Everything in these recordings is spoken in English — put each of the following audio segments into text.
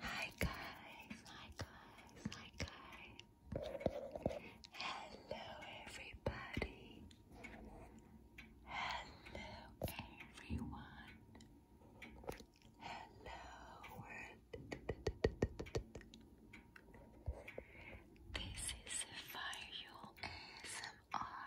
Hi guys, hi guys, hi guys. Hello everybody. Hello everyone. Hello world. This is Fire ASMR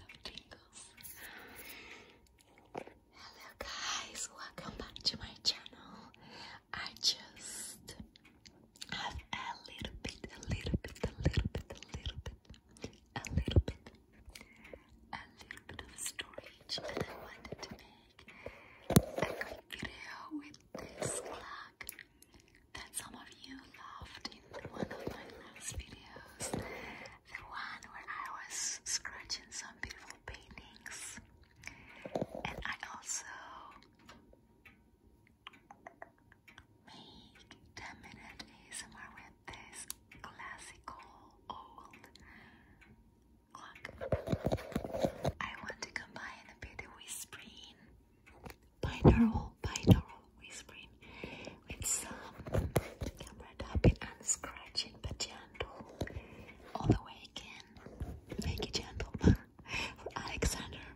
Hello guys, welcome back to my channel. I just have a little bit, a little bit, a little bit, a little bit, a little bit, a little bit of storage and I wanted to make a quick video with this plug that some of you loved in one of my last videos. The one where I was scratching some beautiful paintings. And I also make 10 minute ASMR with this classical old clock. I want to combine a bit of whispering binaural, binaural whispering with um, some camera tapping and scratching, but gentle all the way again. Make it gentle for Alexander.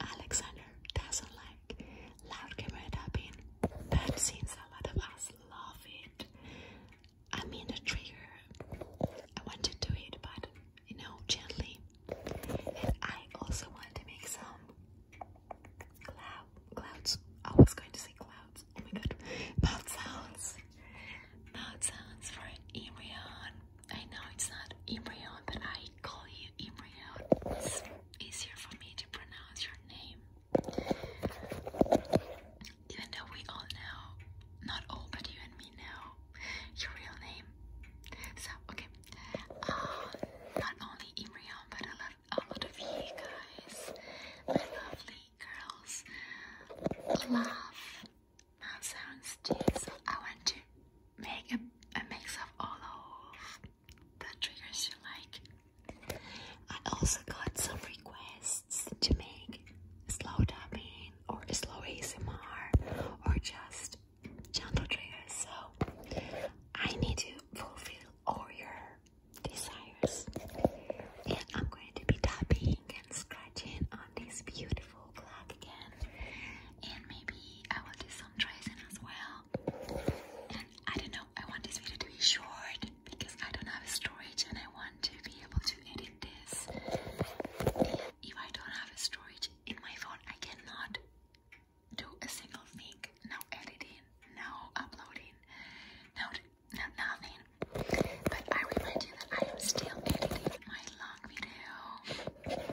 Alexander doesn't like loud camera tapping, but since a lot of us love it, I mean the trigger. I wanted to do it, but you know, gently. And I also want to make some clouds. I was going to say clouds. Oh my god. Mouth sounds. Mouth sounds for an I know it's not embryon, but I call you embryon. It's easier for me to pronounce your name. Even though we all know, not all, but you and me know your real name. So, okay. Um, not only Imrion, but a lot, a lot of you guys, my lovely girls, love mouth sounds too. So I want to make a, a mix of all of the triggers you like. I also got some requests to make slow dubbing or slow ASMR or just gentle triggers. So I need to fulfill all your desires, and I'm going to be tapping and scratching on this beautiful clock again, and maybe I will do some tracing as well. And I don't know. I want this video to be short because I don't have storage, and I want to be able to edit this. if I don't have storage in my phone, I cannot do a single thing, no editing, no uploading, no, no nothing. But I remind you that I am still editing my long video.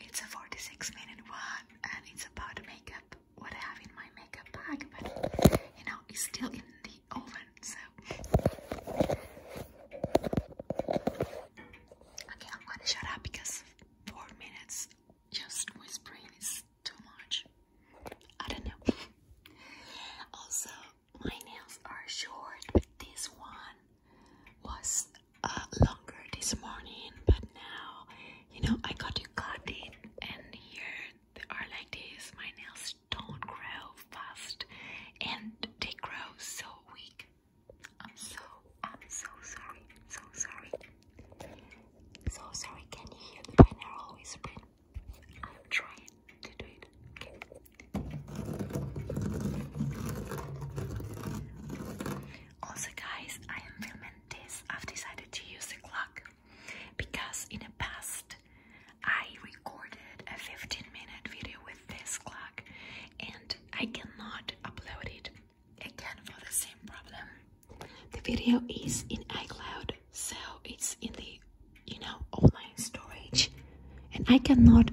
It's a 46 minute one and it's about makeup, what I have in my makeup bag, but you know, it's still in the oven, so. Okay, I'm gonna shut up because four minutes just whispering is too much. I don't know. also, my nails are short, this one was uh, longer this morning, but now, you know, I got to cut it, and here they are like this. My nails don't grow fast, and they grow so weak. I'm so, I'm so sorry, so sorry, so sorry. Can you hear the binaural whispering? I'm trying to do it. Okay. Also, guys, I am filming this. I've decided to use the clock because in the past I recorded a 15 minute video with this clock and I cannot upload it again for the same problem. The video is in iCloud, so it's in the you know online storage, and I cannot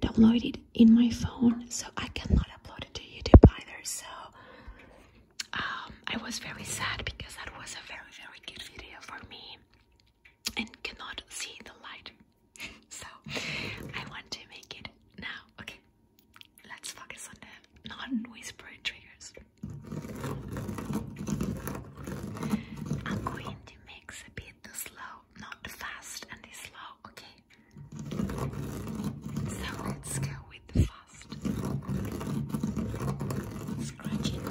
download it in my phone, so I cannot upload it to YouTube either. So um, I was very sad because that was a very very good video for me, and cannot see the light. so I want to make it now. Okay. Let's focus on the non whisper triggers. I'm going to mix a bit the slow, not the fast and the slow, okay? So let's go with the fast. Scratching.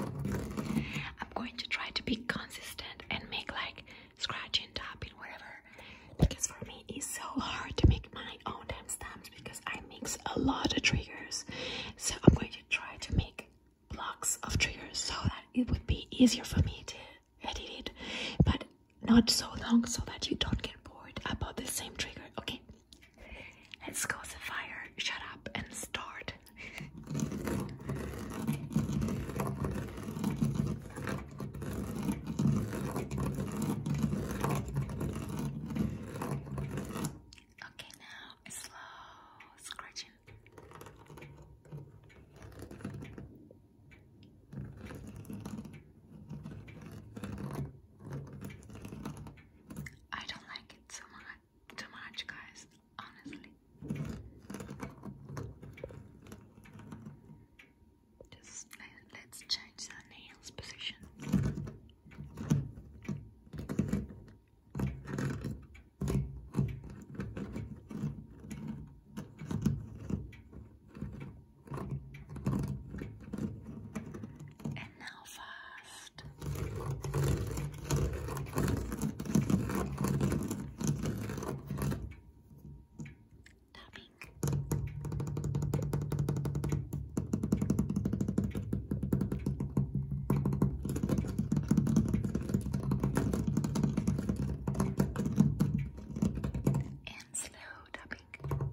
I'm going to try to be consistent and make like scratching, tapping, whatever because for me it's so hard to make my own timestamps because I mix a lot of triggers. So I'm going to try to make blocks of triggers so that it would be easier for me to edit it, but not so long so that you don't get bored about the same trigger. Okay, let's go, fire. Shut up and start. Okay, now slow scratching. I don't like it so much, too much, guys. Honestly. Just uh, let's change the nails position. And now fast tapping. And slow tapping.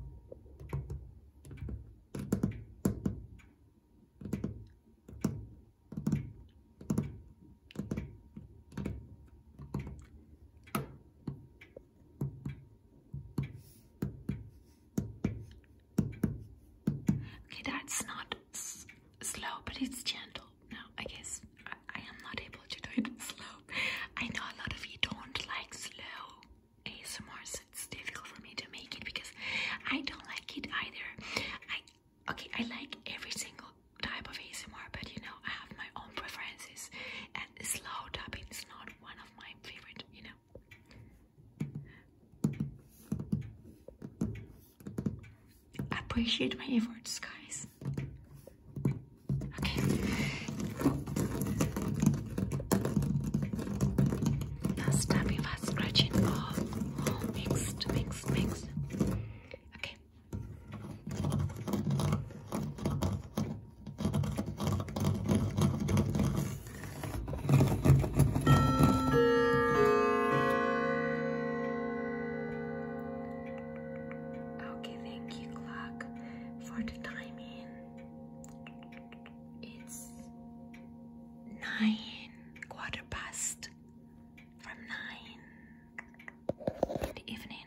Okay, that's not slow, but it's gentle. Now, I guess I, am not able to do it slow. I know a lot of you don't like slow ASMR, so it's difficult for me to make it because I don't like it either. I okay, I like every single type of ASMR, but you know, I have my own preferences, that slow tapping is not one of my favorite, you know. Appreciate my efforts, guys. Okay. That's tapping, fast scratching, all, oh, oh, mixed, mixed, mixed. Okay. Okay, thank you, clock, for the timing. It's nine, quarter past from nine in the evening.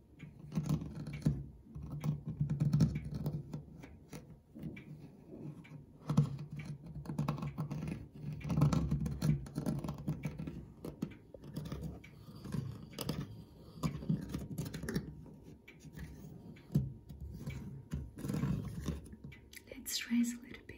Let's raise a little bit.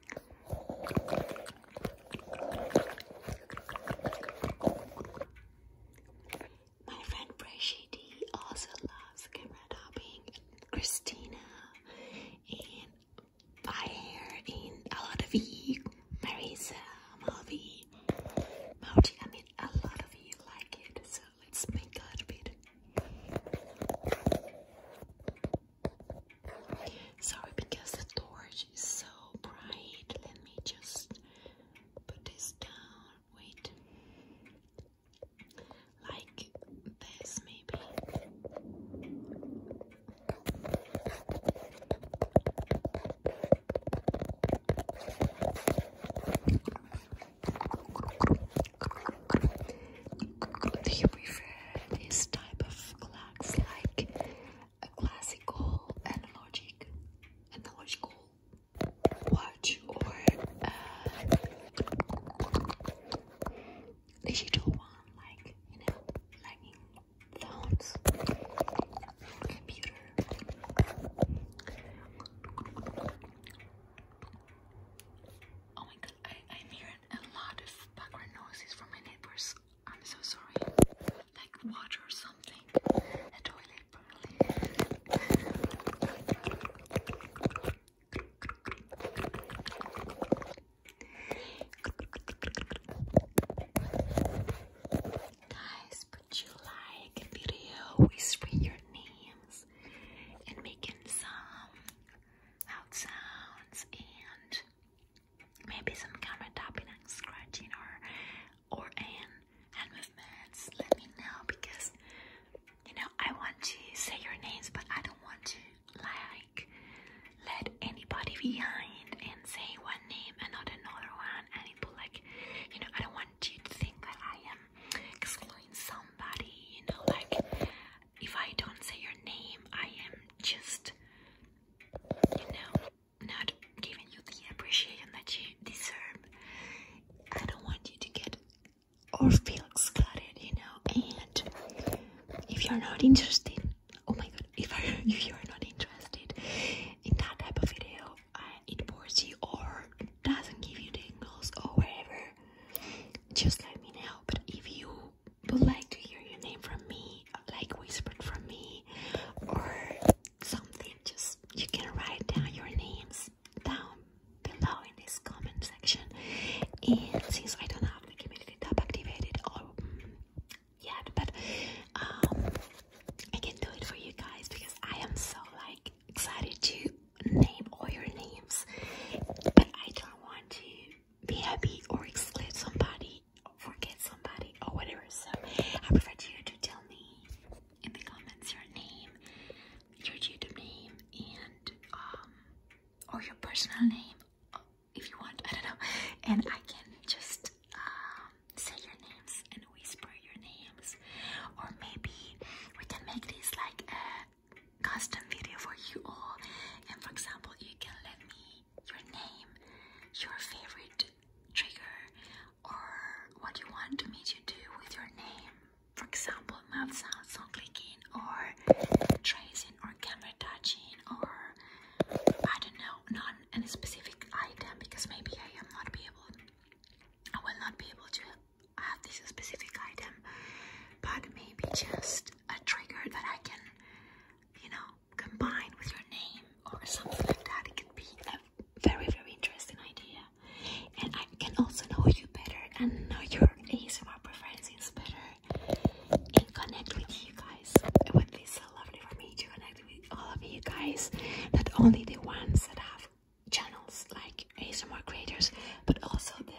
My friend Brashidi also loves camera topping. Christina and Fire and a lot of you, Marisa, Malvi, Mauti, I mean a lot of you like it, so let's make a little bit. Sorry, because the torch is so bright. Let me just put this down. Wait. Like this, maybe. They prefer this type of clocks like a classical analogic, analogical watch or a uh, digital one like, you know, like in phones computer. Oh my god, I'm hearing a lot of background noises from my neighbors. I'm so sorry. Like water or something. A toilet probably. Guys, would you like video whispering your names and making some out sounds and maybe some camera tapping and scratching or or and hand movements, let me know because you know I want to say your names but I don't want to like let anybody behind and say one name and not another one and like you know I don't want you to think that I am excluding somebody, you know, like if I don't say your name, I am just, you know, not giving you the appreciation that you deserve. I don't want you to get or feel excluded, you know. And if you're not interested, oh my god, if, you're not interested in that type of video, it bores you or doesn't give you the angles or whatever, just let me know. But if you would like to hear your name from me, like whispered from me, or something, just you can write down your names down below in this comment section. And since I don't have the community tab activated, or mm, yet, but um, I can do it for you guys because I am so like excited to name all your names, but I don't want to be happy or exclude somebody or forget somebody or whatever. So I prefer you to tell me in the comments your name, your YouTube name, and um, or your personal name if you want. I don't know, and I can just um, say your names and whisper your names, or maybe we can make this like a custom video for you all. And for example, you can let me your name, your favorite trigger, or what you want me to do with your name. For example, mouth sounds, song clicking, or tracing, or camera touching, or I don't know, not any specific item because maybe I am not be able, I will not be able to have this specific item, but maybe just a trigger that I can you know, combined with your name or something like that. It could be a very, very interesting idea. And I can also know you better and know your ASMR preferences better and connect with you guys. It would be so lovely for me to connect with all of you guys, not only the ones that have channels like ASMR creators, but also the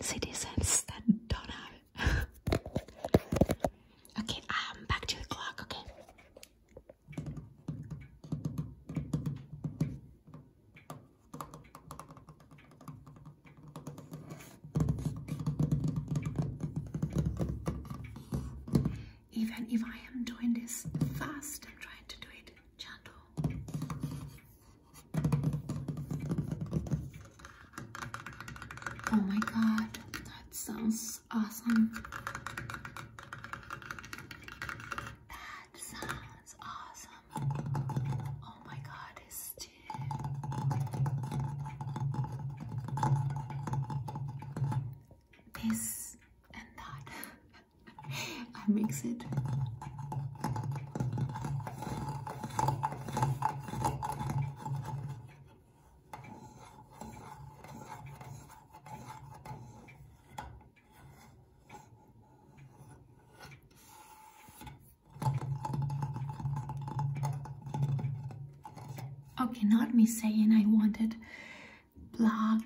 citizens that don't have. okay, I'm um, back to the clock. Okay. Even if I am doing this fast, I'm trying to do it gentle. Oh my god, that sounds awesome. That sounds awesome. Oh my god, it's This and that. I mix it. Okay, not me saying I wanted block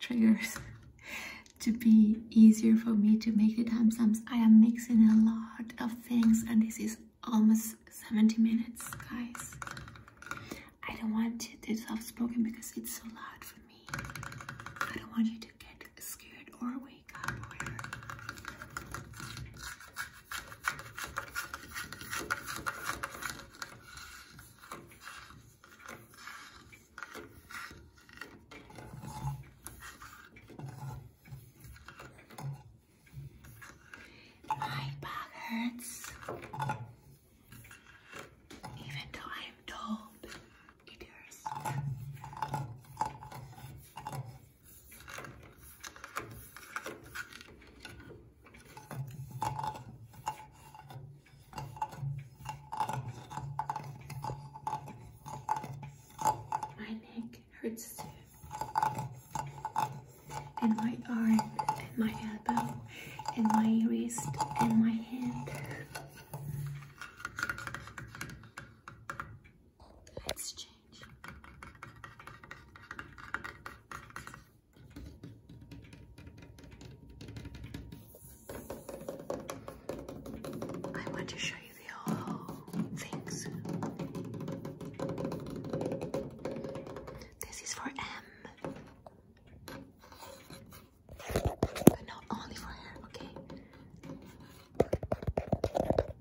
triggers to be easier for me to make the timestamps. I am mixing a lot of things and this is almost 70 minutes guys i don't want to do soft-spoken because it's so loud for me i don't want you to get scared or wake up or my back hurts. Even though I'm told it hurts. My neck neck hurts too. And my arm, and my elbow, and my wrist, and my hand. Let's change. I want to show you the This is for M. But not only for her, okay?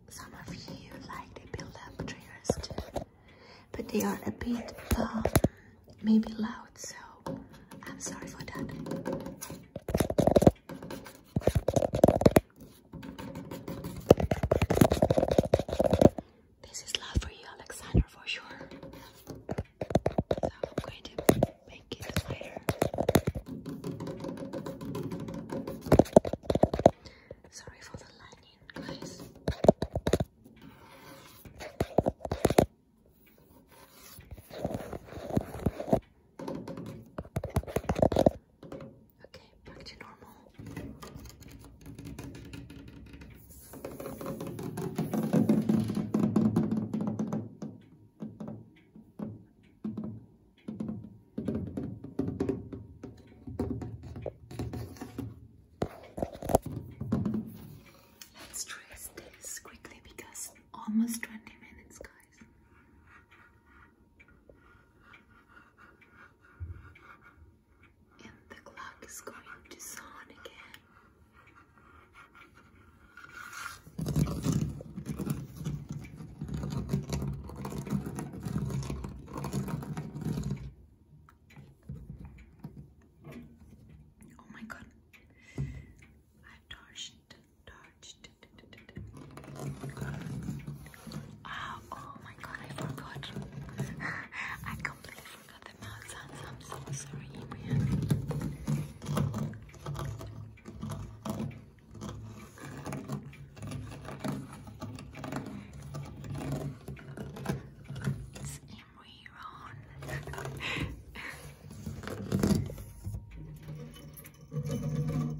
Some of you like the build-up triggers But they are a bit, um, maybe loud, so I'm sorry for that. This is love for you, Alexander, for sure. I'm going to make it lighter. Sorry for the lightning, guys. Okay, back to normal. Let's dress this quickly because almost 20 minutes, guys. And the clock is going to sound again. Oh my god, I've torched Ah, oh, my god, I forgot. I completely forgot the mouth sounds. I'm so sorry, Ibrian. It's Imri Ron.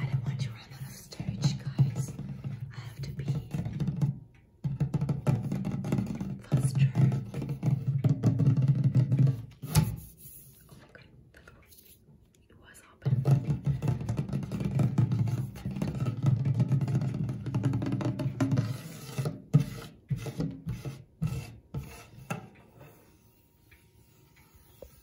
I don't want you to run out of storage, guys. I have to be faster. Oh my god, that was, it was open.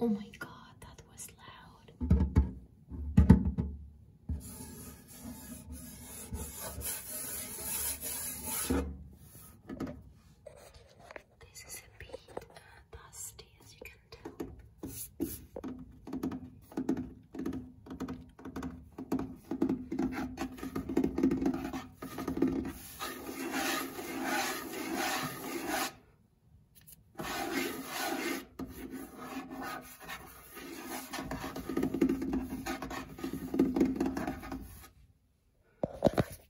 Oh my god, that was loud. This is a bit uh, dusty as you can too.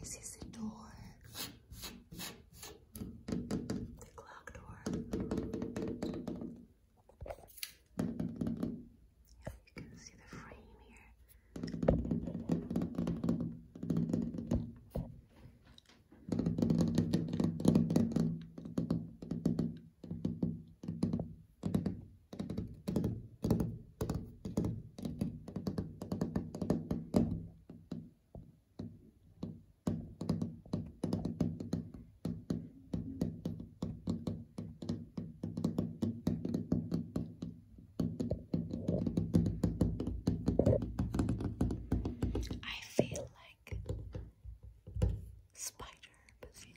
This is the door, the clock door. you can see the frame here. I feel like spider pussy.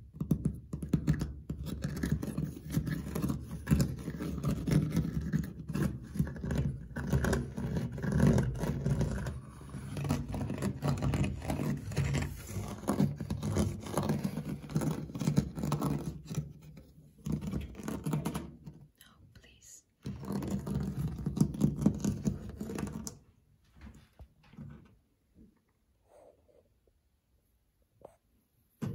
No, please. I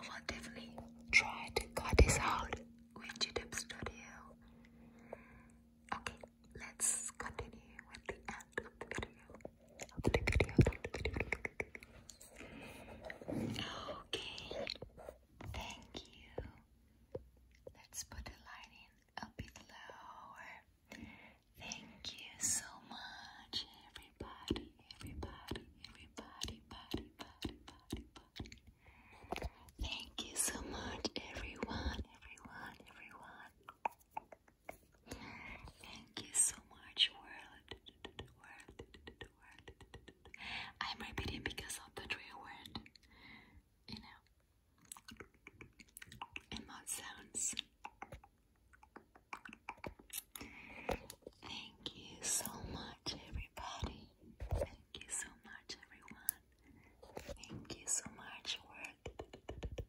will definitely try to cut this out with YouTube Studio. Okay, let's continue with the end of the video. Okay, thank you. Let's put the lighting a bit lower. Thank you so much, everybody, everybody, everybody, body, body, body, Thank you so much, everyone, everyone, everyone. Thank you so much, world. World. World. I'm repeating because of the three word, you know, and mouth sounds. Thank you so much, everybody. Thank you so much, everyone. Thank you so much, world.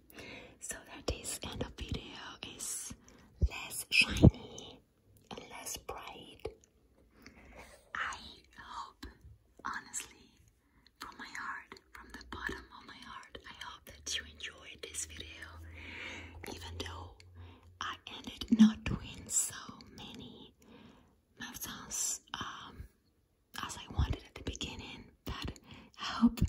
so that this end of video is less shiny and less bright. I hope, honestly, from my heart, from the bottom of my heart, I hope that you enjoyed this video, even though I ended not doing so many mouth as I wanted at the beginning, that I hope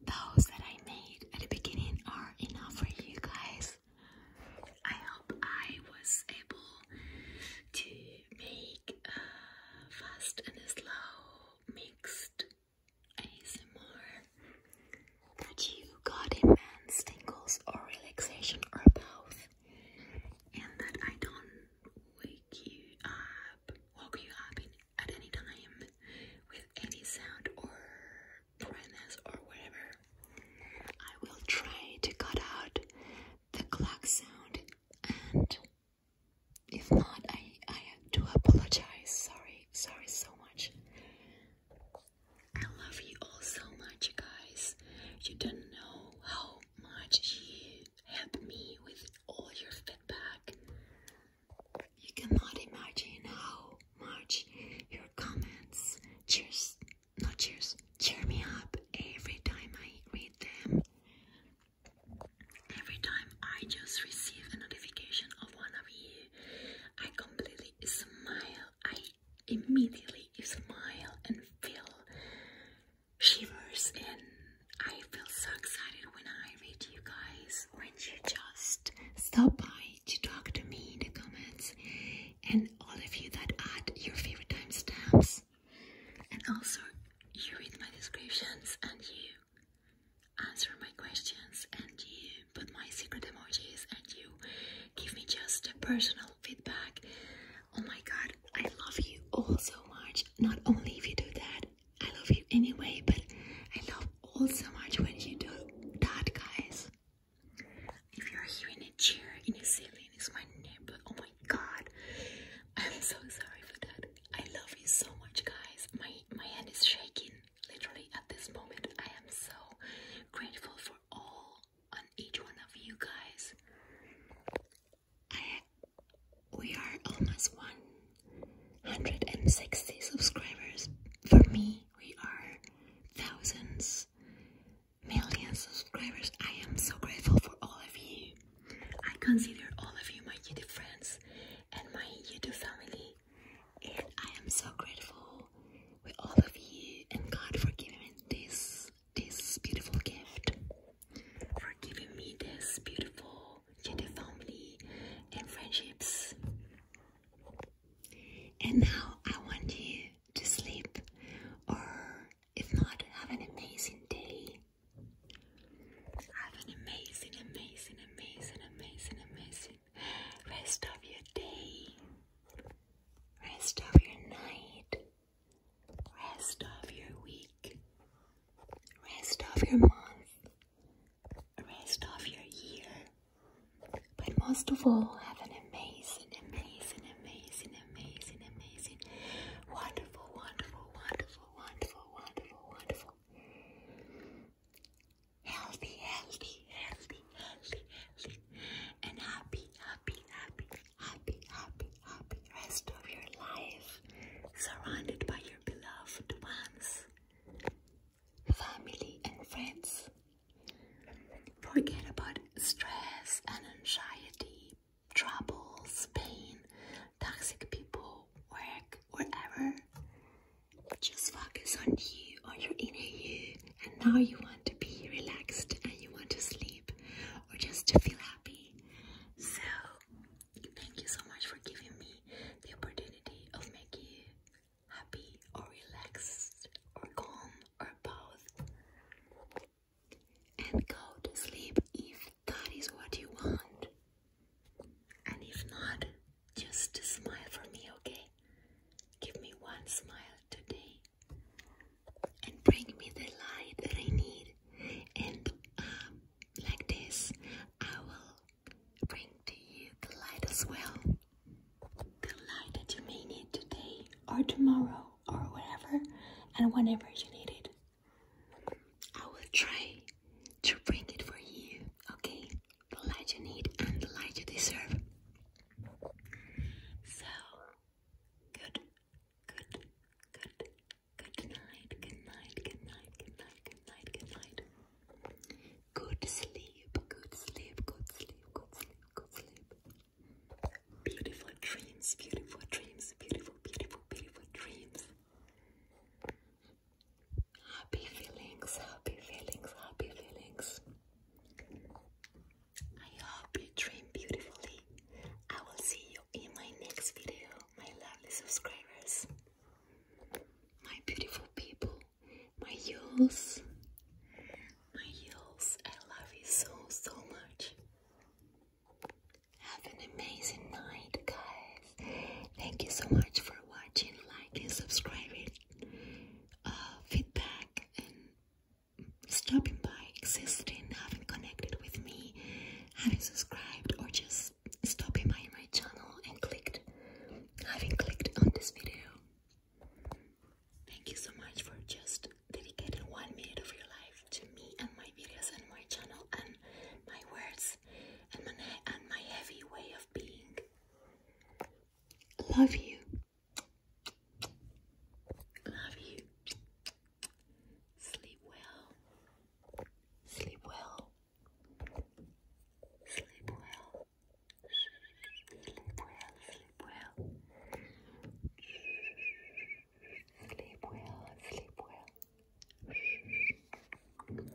those that I made at the beginning are enough for you guys. I hope I was able to make a fast and a slow mixed ASMR that you got immense tingles or relaxation or both, and that I don't wake you up, woke you up in at any time with any sound or brightness or whatever. I will try to cut out the clock sound and if not I I do apologize. Sorry, sorry so much. I love you all so much guys. You don't know how much you help me with all your feedback. You cannot imagine how much your comments cheers, not cheers, cheer me up every time I read them. Every time I just receive a notification of one of you, I completely smile. I immediately smile and feel shivers and I feel so excited when I read you guys when you just stop by to talk to me in the comments and all of you that add your favorite timestamps and also you read my descriptions and you answer my questions and you put my secret emojis and you give me just a personal feedback. Oh my god, I love you all so much. Not only if you do that, I love you anyway, but I love all so much when you do that, guys. If you're here in a chair in New Zealand, it's my neighbor. Oh my god, I'm so sorry for that. I love you so much, guys. My my hand is shaking literally at this moment. I am so grateful for all on each one of you guys. I, we are almost 160 subscribers. For me, we are thousands, millions subscribers. I am so grateful for all of you. I consider all of you my YouTube friends and my YouTube family, and I am so grateful with all of you and God for giving me this this beautiful gift, for giving me this beautiful to the family and friendships. And now I want you to sleep, or if not, have an amazing day. Have an amazing, amazing, amazing, amazing, amazing rest of your day, rest of your night, rest of your week, rest of your month, rest of your year, but most of all, have an amazing, amazing, amazing, amazing, amazing, wonderful, wonderful, wonderful, wonderful, wonderful, wonderful, healthy, healthy, healthy, healthy, healthy, and happy, happy, happy, happy, happy, happy, rest of your life surrounded by your beloved ones, family, and friends. Forget about stress and anxiety, troubles, pain, toxic people, work, whatever. Just focus on you, on your inner you, and now you want to be relaxed and you want to sleep or just to feel happy. So Thank you so much for giving me the opportunity of making you happy or relaxed or calm or both. And go to sleep if that is what you want. And if not, just smile for me, okay? Give me one smile today. And bring me the light that I need and um, like this, I will bring to you the light as well. The light that you may need today or tomorrow or whatever and whenever you need it. I will try to bring it for you, okay? The light you need and the light you deserve. So, good, good, good, Good night, good night, good night, good night, good night, good night. Good sleep, good sleep, good sleep, good sleep, good sleep. Beautiful dreams, beautiful dreams, beautiful, beautiful, beautiful dreams. Happy feelings, happy feelings, happy feelings. I hope you dream beautifully. I will see you in my next video my lovely subscribers, my beautiful people, my youths, my youths. I love you so, so much. Have an amazing night, guys. Thank you so much for watching, liking, subscribing, uh, feedback, and stopping by, existing, having connected with me having subscribed or just stopping by my channel and clicked having clicked on this video. Thank you so much for just dedicating one minute of your life to me and my videos and my channel and my words and my heavy way of being. Love you. Love you. Sleep well. Sleep well. Sleep well. Sleep well. Sleep well. Sleep well. Sleep well. Sleep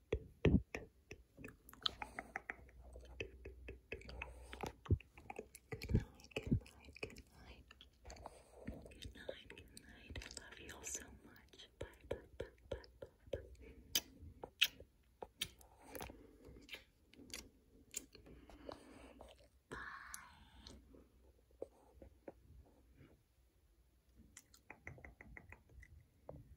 night. I love you all so much. Bye, bye, bye, bye, bye, bye. Bye.